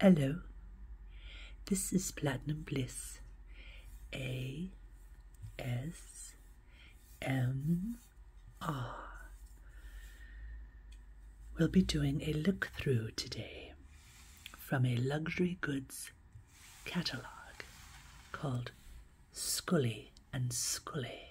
Hello, this is Platinum Bliss. A S M R. We'll be doing a look through today from a luxury goods catalogue called Scully and Scully.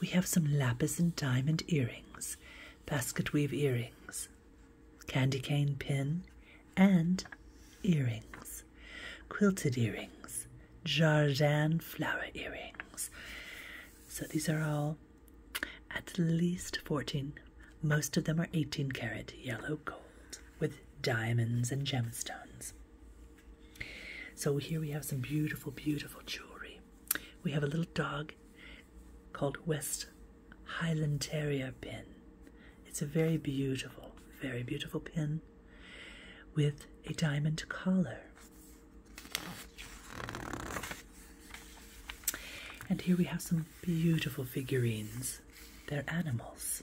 We have some lapis and diamond earrings, basket weave earrings, candy cane pin, and earrings, quilted earrings, jardin flower earrings. So these are all at least 14. Most of them are 18 karat yellow gold with diamonds and gemstones. So here we have some beautiful, beautiful jewelry. We have a little dog called West Highland Terrier pin. It's a very beautiful, very beautiful pin with a diamond collar. And here we have some beautiful figurines. They're animals,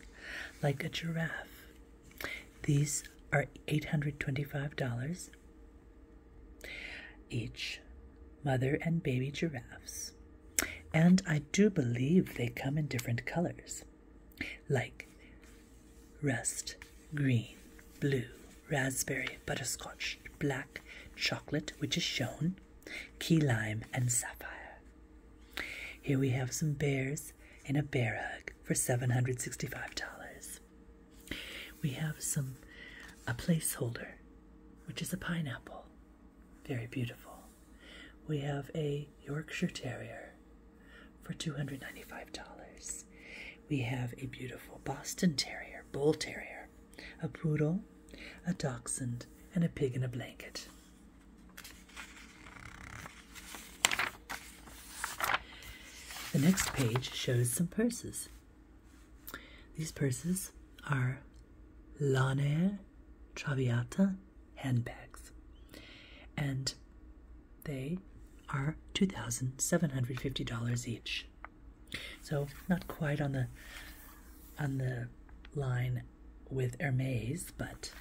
like a giraffe these are $825 each, mother and baby giraffes. And I do believe they come in different colors, like rust, green, blue, raspberry, butterscotch, black, chocolate, which is shown, key lime, and sapphire. Here we have some bears in a bear hug for $765. We have some a placeholder, which is a pineapple. Very beautiful. We have a Yorkshire Terrier for $295. We have a beautiful Boston Terrier, Bull Terrier, a poodle, a dachshund, and a pig in a blanket. The next page shows some purses. These purses are Lanair Traviata handbags, and they are $2,750 each. So not quite on the on the line with Hermes, but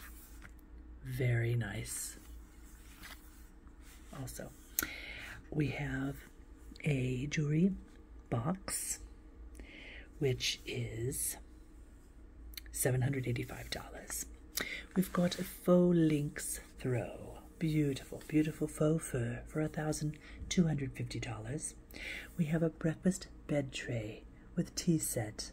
very nice. Also, we have a jewelry box, which is $785. We've got a faux lynx throw. Beautiful, beautiful faux fur for $1,250. We have a breakfast bed tray with tea set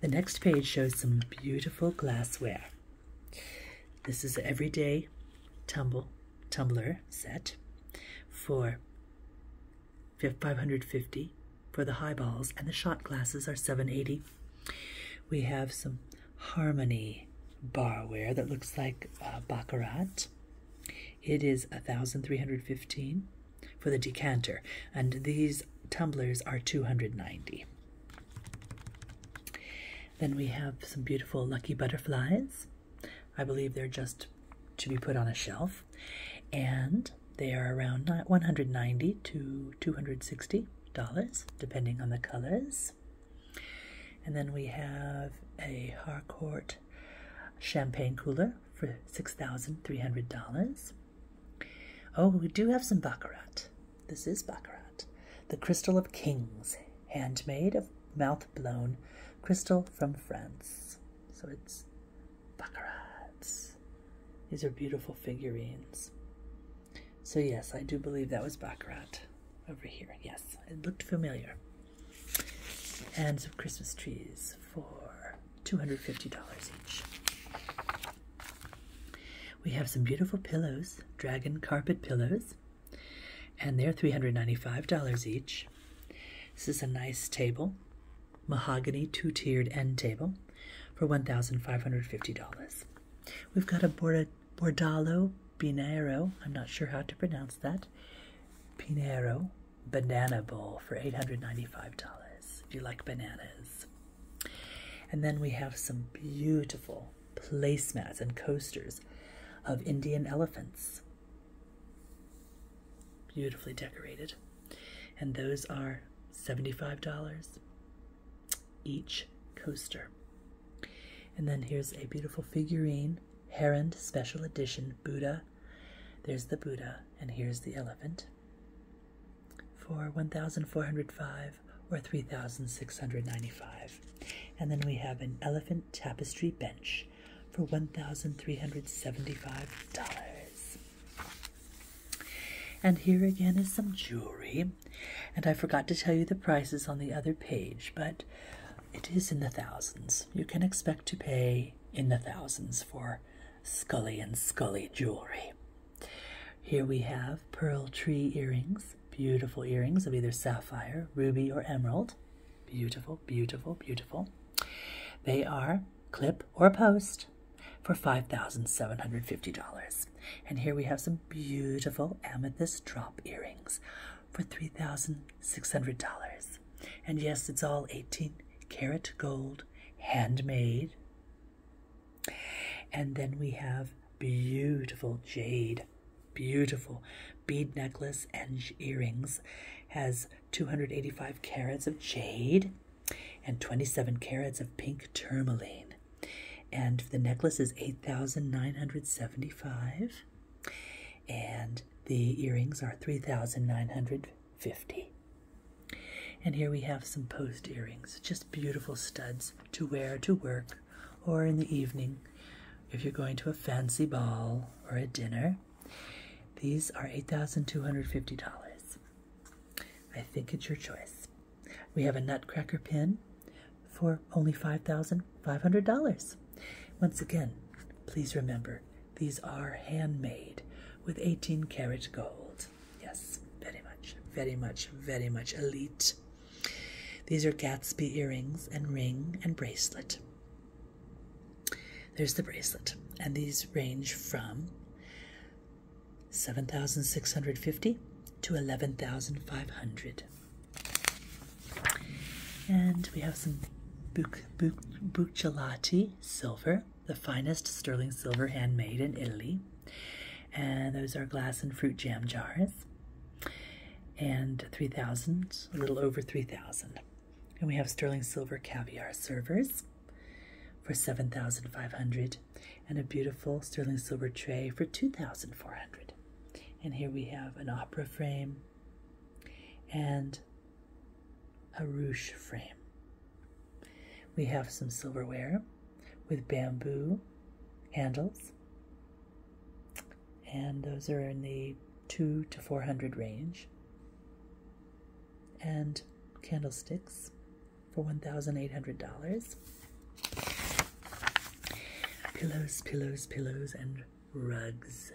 The next page shows some beautiful glassware. This is everyday tumble tumbler set for 550 for the highballs and the shot glasses are 780. We have some harmony barware that looks like uh, baccarat it is 1,315 for the decanter, and these tumblers are 290. Then we have some beautiful lucky butterflies. I believe they're just to be put on a shelf, and they are around 190 to 260 dollars, depending on the colors. And then we have a Harcourt champagne cooler for $6,300. Oh, we do have some baccarat. This is baccarat. The Crystal of Kings, handmade of mouth blown crystal from France. So it's baccarats. These are beautiful figurines. So, yes, I do believe that was baccarat over here. Yes, it looked familiar. And some Christmas trees for $250 each. We have some beautiful pillows, dragon carpet pillows, and they're $395 each. This is a nice table, mahogany two-tiered end table for $1,550. We've got a Bord Bordalo Pinero, I'm not sure how to pronounce that, Pinero banana bowl for $895 if you like bananas. And then we have some beautiful placemats and coasters of Indian elephants. Beautifully decorated. And those are $75 each coaster. And then here's a beautiful figurine, Herend Special Edition Buddha. There's the Buddha and here's the elephant, for 1,405 or 3,695. And then we have an elephant tapestry bench for $1,375. And here again is some jewelry. And I forgot to tell you the prices on the other page, but it is in the thousands. You can expect to pay in the thousands for Scully and Scully jewelry. Here we have pearl tree earrings, beautiful earrings of either sapphire, ruby, or emerald. Beautiful, beautiful, beautiful. They are clip or post for $5,750. And here we have some beautiful amethyst drop earrings for $3,600. And yes, it's all 18 karat gold, handmade. And then we have beautiful jade, beautiful bead necklace and earrings. Has 285 carats of jade and 27 carats of pink tourmaline. And the necklace is 8,975. And the earrings are 3,950. And here we have some post earrings, just beautiful studs to wear to work or in the evening if you're going to a fancy ball or a dinner. These are $8,250. I think it's your choice. We have a nutcracker pin for only $5,500. Once again, please remember these are handmade with 18 karat gold. Yes, very much, very much, very much elite. These are Gatsby earrings and ring and bracelet. There's the bracelet, and these range from 7,650 to 11,500. And we have some Buccellati silver, the finest sterling silver handmade in Italy. And those are glass and fruit jam jars. And 3,000, a little over 3,000. And we have sterling silver caviar servers for 7,500 and a beautiful sterling silver tray for 2,400. And here we have an opera frame and a ruche frame. We have some silverware with bamboo handles, and those are in the two to four hundred range, and candlesticks for one thousand eight hundred dollars. Pillows, pillows, pillows, and rugs.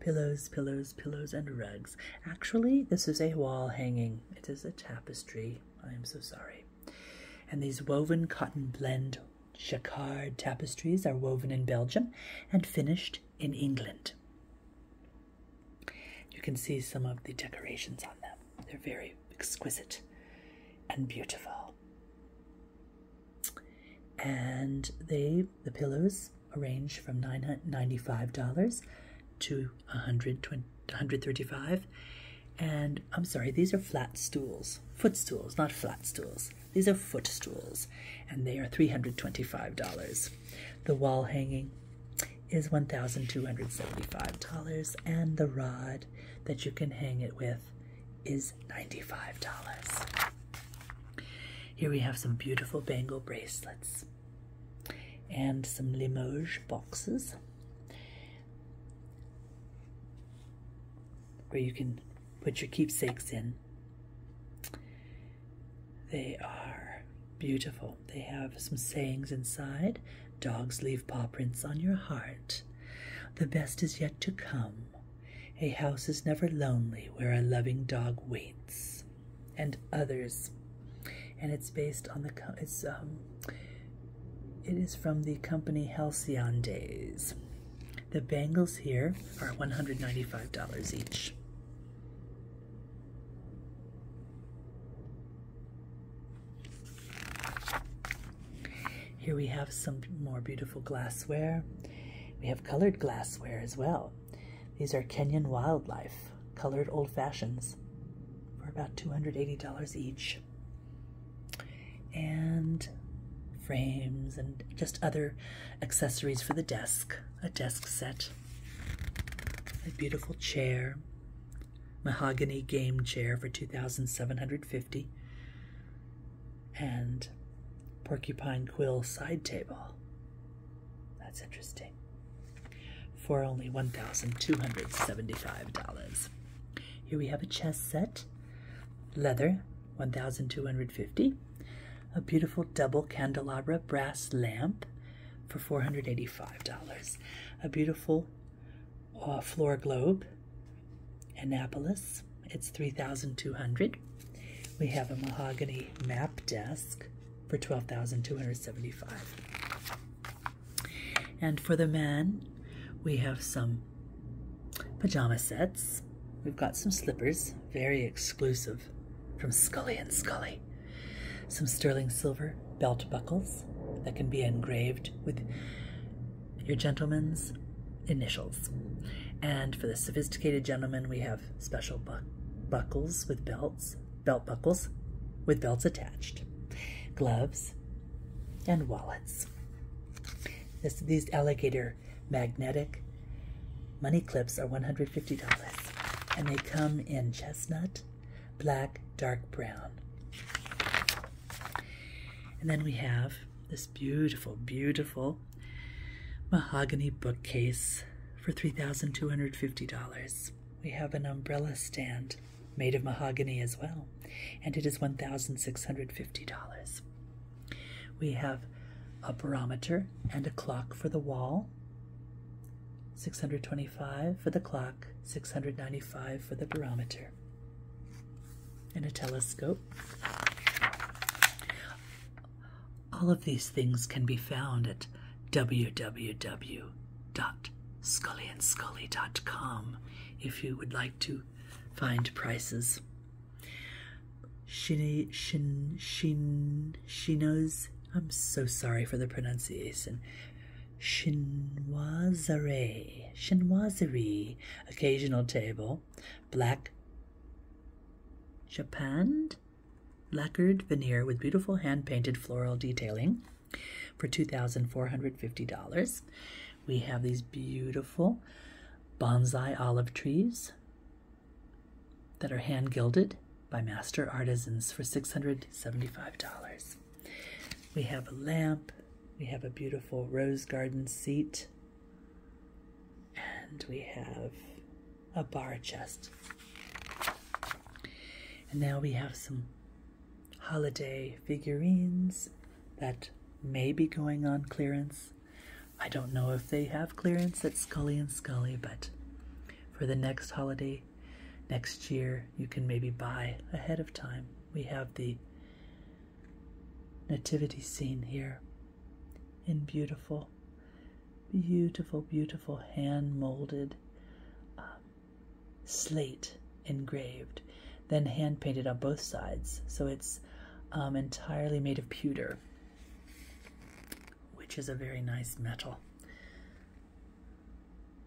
Pillows, pillows, pillows, and rugs. Actually, this is a wall hanging. It is a tapestry. I am so sorry. And these woven cotton blend jacquard tapestries are woven in Belgium and finished in England. You can see some of the decorations on them. They're very exquisite and beautiful and they the pillows range from nine hundred ninety-five dollars to $135 and i'm sorry these are flat stools footstools not flat stools these are footstools and they are $325 the wall hanging is $1275 and the rod that you can hang it with is $95. Here we have some beautiful bangle bracelets and some Limoges boxes where you can put your keepsakes in. They are beautiful. They have some sayings inside. Dogs leave paw prints on your heart. The best is yet to come. A house is never lonely where a loving dog waits, and others. And it's based on the it's um it is from the company Halcyon Days. The bangles here are $195 each. Here we have some more beautiful glassware we have colored glassware as well. These are Kenyan wildlife, colored old fashions for about $280 each. And frames and just other accessories for the desk, a desk set, a beautiful chair, mahogany game chair for 2750 and porcupine quill side table. That's interesting. For only $1,275. Here we have a chess set, leather, 1250 A beautiful double candelabra brass lamp for $485. A beautiful uh, floor globe Annapolis, it's 3200 We have a mahogany map desk for 12275 And for the men, we have some pajama sets. We've got some slippers, very exclusive from Scully and Scully. Some sterling silver belt buckles that can be engraved with your gentleman's initials. And for the sophisticated gentleman, we have special buck buckles with belts, belt buckles with belts attached, gloves, and wallets. This, these alligator magnetic money clips are $150 and they come in chestnut, black, dark brown. And then we have this beautiful, beautiful mahogany bookcase for $3,250. We have an umbrella stand made of mahogany as well, and it is $1,650. We have a barometer and a clock for the wall. 625 for the clock, 695 for the barometer. In a telescope. All of these things can be found at www.scullyandscully.com if you would like to find prices. Shin, shin, shin, shinos, I'm so sorry for the pronunciation. Chinoiserie, chinoiserie, occasional table, black japanned lacquered veneer with beautiful hand painted floral detailing for $2,450. We have these beautiful bonsai olive trees that are hand gilded by master artisans for $675. We have a lamp, we have a beautiful rose garden seat and we have a bar chest. And now we have some holiday figurines that may be going on clearance. I don't know if they have clearance at Scully and Scully, but for the next holiday next year, you can maybe buy ahead of time. We have the nativity scene here in beautiful, beautiful, beautiful hand molded um, slate engraved, then hand painted on both sides. So it's um, entirely made of pewter, which is a very nice metal.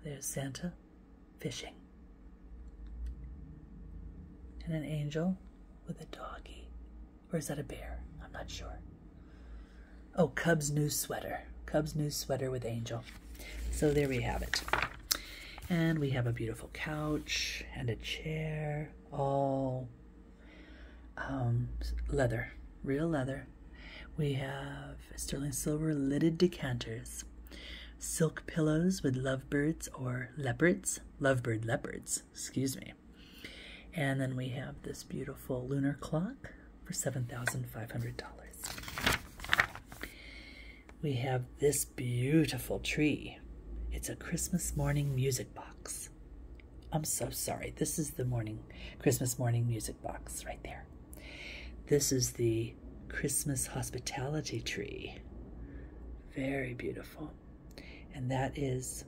There's Santa fishing and an angel with a doggy. Or is that a bear? I'm not sure. Oh, Cub's new sweater. Cub's new sweater with angel. So there we have it. And we have a beautiful couch and a chair, all um, leather, real leather. We have sterling silver lidded decanters, silk pillows with lovebirds or leopards lovebird leopards, excuse me. And then we have this beautiful lunar clock for $7,500. We have this beautiful tree. It's a Christmas morning music box. I'm so sorry. This is the morning Christmas morning music box right there. This is the Christmas hospitality tree. Very beautiful. And that is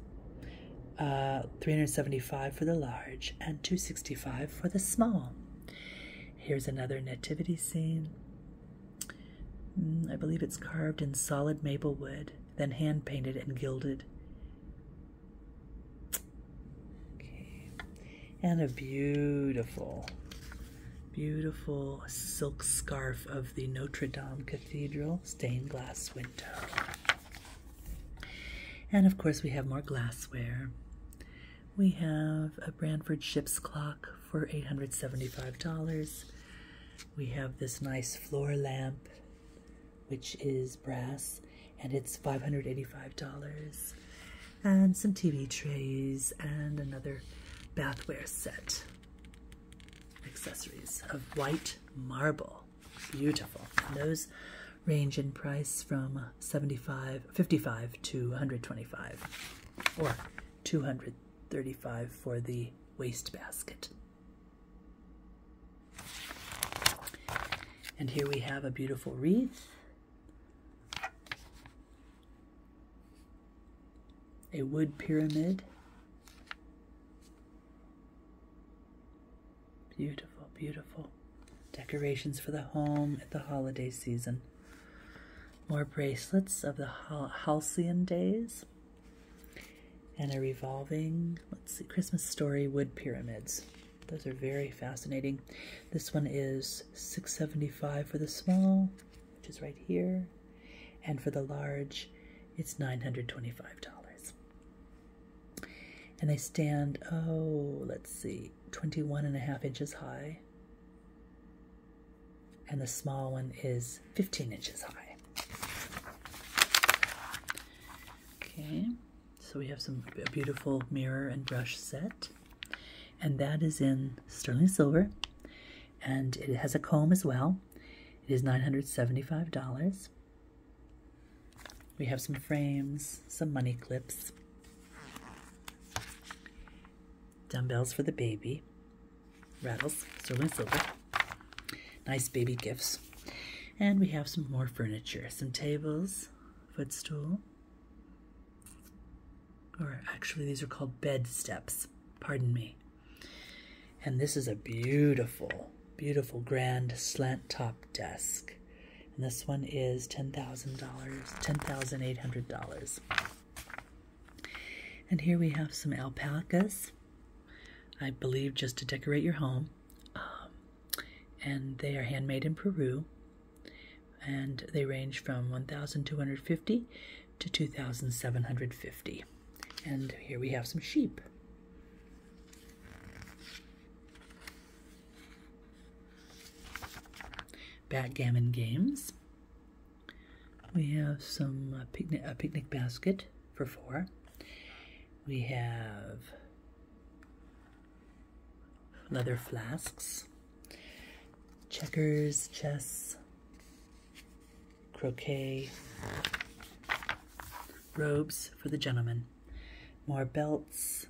uh, 375 for the large and 265 for the small. Here's another nativity scene. Mm, I believe it's carved in solid maple wood, then hand painted and gilded. Okay. And a beautiful Beautiful silk scarf of the Notre Dame Cathedral stained glass window. And of course, we have more glassware. We have a Branford ship's clock for $875. We have this nice floor lamp, which is brass, and it's $585. And some TV trays and another bathware set accessories of white marble. Beautiful. And those range in price from 75 55 to 125 or 235 for the waste basket. And here we have a beautiful wreath a wood pyramid. Beautiful, beautiful. Decorations for the home at the holiday season. More bracelets of the Hal Halcyon days. And a revolving, let's see, Christmas story wood pyramids. Those are very fascinating. This one is 675 for the small, which is right here. And for the large, it's $925. And they stand, oh, let's see, 21 and a half inches high. And the small one is 15 inches high. Okay, so we have some a beautiful mirror and brush set. And that is in sterling silver. And it has a comb as well. It is $975. We have some frames, some money clips, dumbbells for the baby, rattles, sterling silver, nice baby gifts. And we have some more furniture, some tables, footstool, or actually these are called bed steps, pardon me. And this is a beautiful, beautiful grand slant top desk. And this one is $10,000, $10,800. And here we have some alpacas, I believe just to decorate your home. Um, and they are handmade in Peru and they range from 1,250 to 2,750. And here we have some sheep. Backgammon games. We have some uh, picnic, a picnic basket for four. We have leather flasks checkers, chess, croquet, robes for the gentlemen, more belts,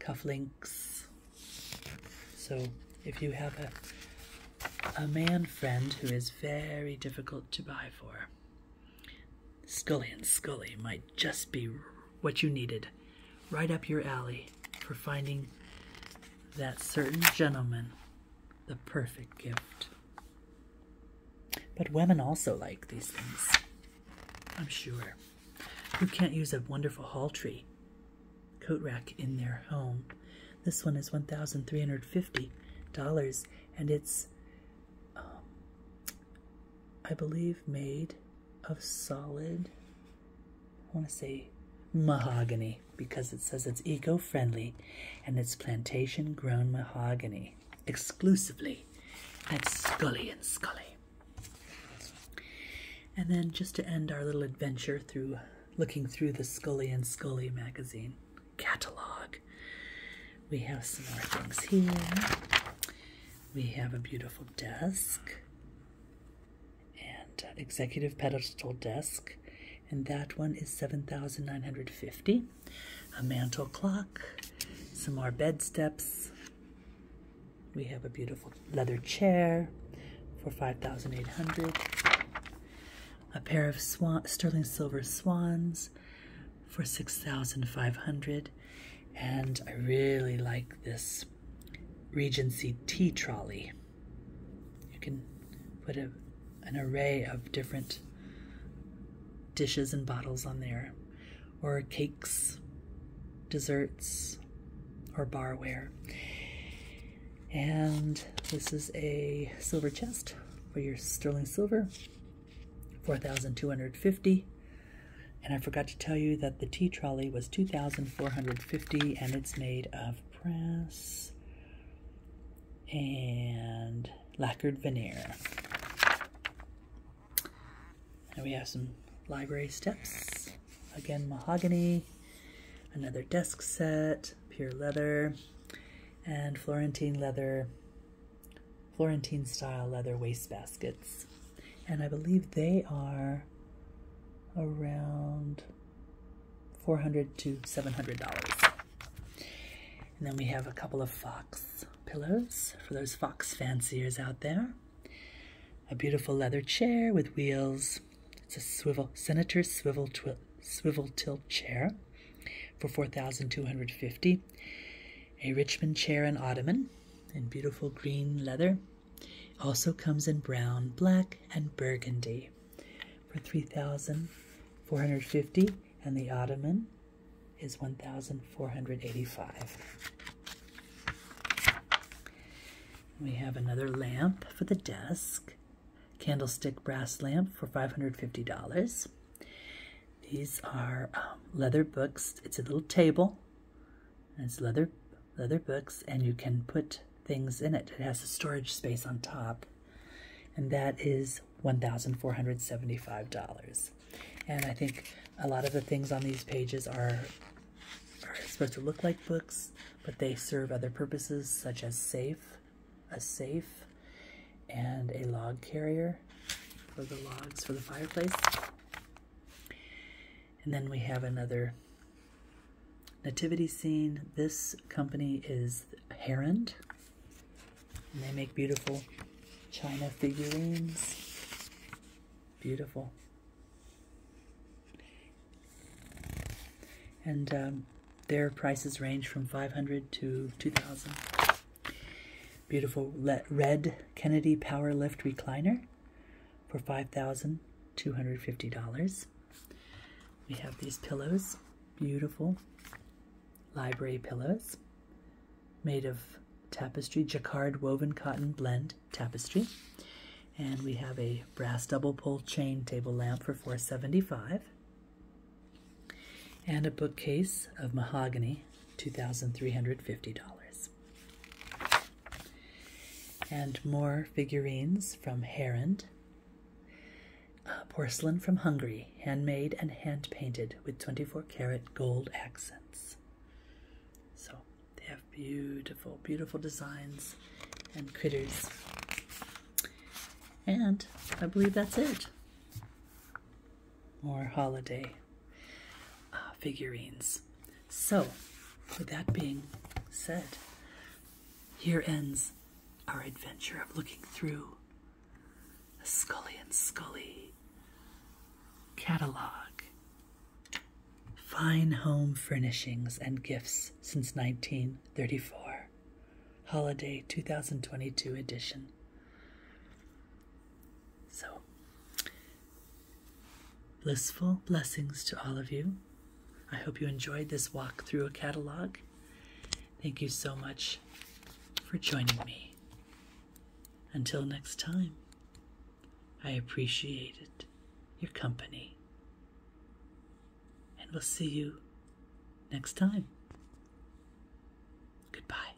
cufflinks. So if you have a a man friend who is very difficult to buy for. Scully and Scully might just be what you needed. Right up your alley for finding that certain gentleman the perfect gift. But women also like these things, I'm sure. Who can't use a wonderful hall tree coat rack in their home? This one is $1,350 and it's, um, I believe, made of solid, I want to say mahogany because it says it's eco-friendly and it's plantation-grown mahogany exclusively at Scully and Scully. And then just to end our little adventure through looking through the Scully and Scully magazine catalog, we have some more things here. We have a beautiful desk and uh, executive pedestal desk, and that one is 7,950. A mantel clock, some more bed steps. We have a beautiful leather chair for 5,800. A pair of swan, sterling silver swans for 6,500. And I really like this Regency tea trolley. You can put a, an array of different dishes and bottles on there, or cakes, desserts, or barware. And this is a silver chest for your sterling silver, 4,250 and I forgot to tell you that the tea trolley was 2450 and it's made of press and lacquered veneer. And we have some library steps. Again, mahogany, another desk set, pure leather, and Florentine leather, Florentine style leather waste baskets and I believe they are around 400 to $700. And then we have a couple of fox pillows for those fox fanciers out there. A beautiful leather chair with wheels. It's a swivel, Senator swivel, twi swivel tilt chair for 4250 A Richmond chair and ottoman in beautiful green leather also comes in brown, black, and burgundy for 3450 and the ottoman is 1485 we have another lamp for the desk candlestick brass lamp for $550 these are um, leather books it's a little table it's leather leather books, and you can put things in it. It has a storage space on top, and that is $1,475. And I think a lot of the things on these pages are, are supposed to look like books, but they serve other purposes such as safe, a safe, and a log carrier for the logs for the fireplace. And then we have another nativity scene. This company is Herond. And they make beautiful china figurines. Beautiful. And um, their prices range from 500 to 2000 Beautiful red Kennedy Power Lift Recliner for $5,250. We have these pillows, beautiful library pillows made of tapestry, jacquard woven cotton blend tapestry. And we have a brass double pull chain table lamp for $475. And a bookcase of mahogany, $2,350. And more figurines from Herend. Uh, porcelain from Hungary, handmade and hand painted with 24 karat gold accents. So they have beautiful, beautiful designs and critters. And I believe that's it. More holiday uh, figurines. So, with that being said, here ends our adventure of looking through a Scully and Scully catalog. Fine home furnishings and gifts since 1934. Holiday 2022 edition. So, Blissful blessings to all of you. I hope you enjoyed this walk through a catalog. Thank you so much for joining me. Until next time, I appreciated your company. And we'll see you next time. Goodbye.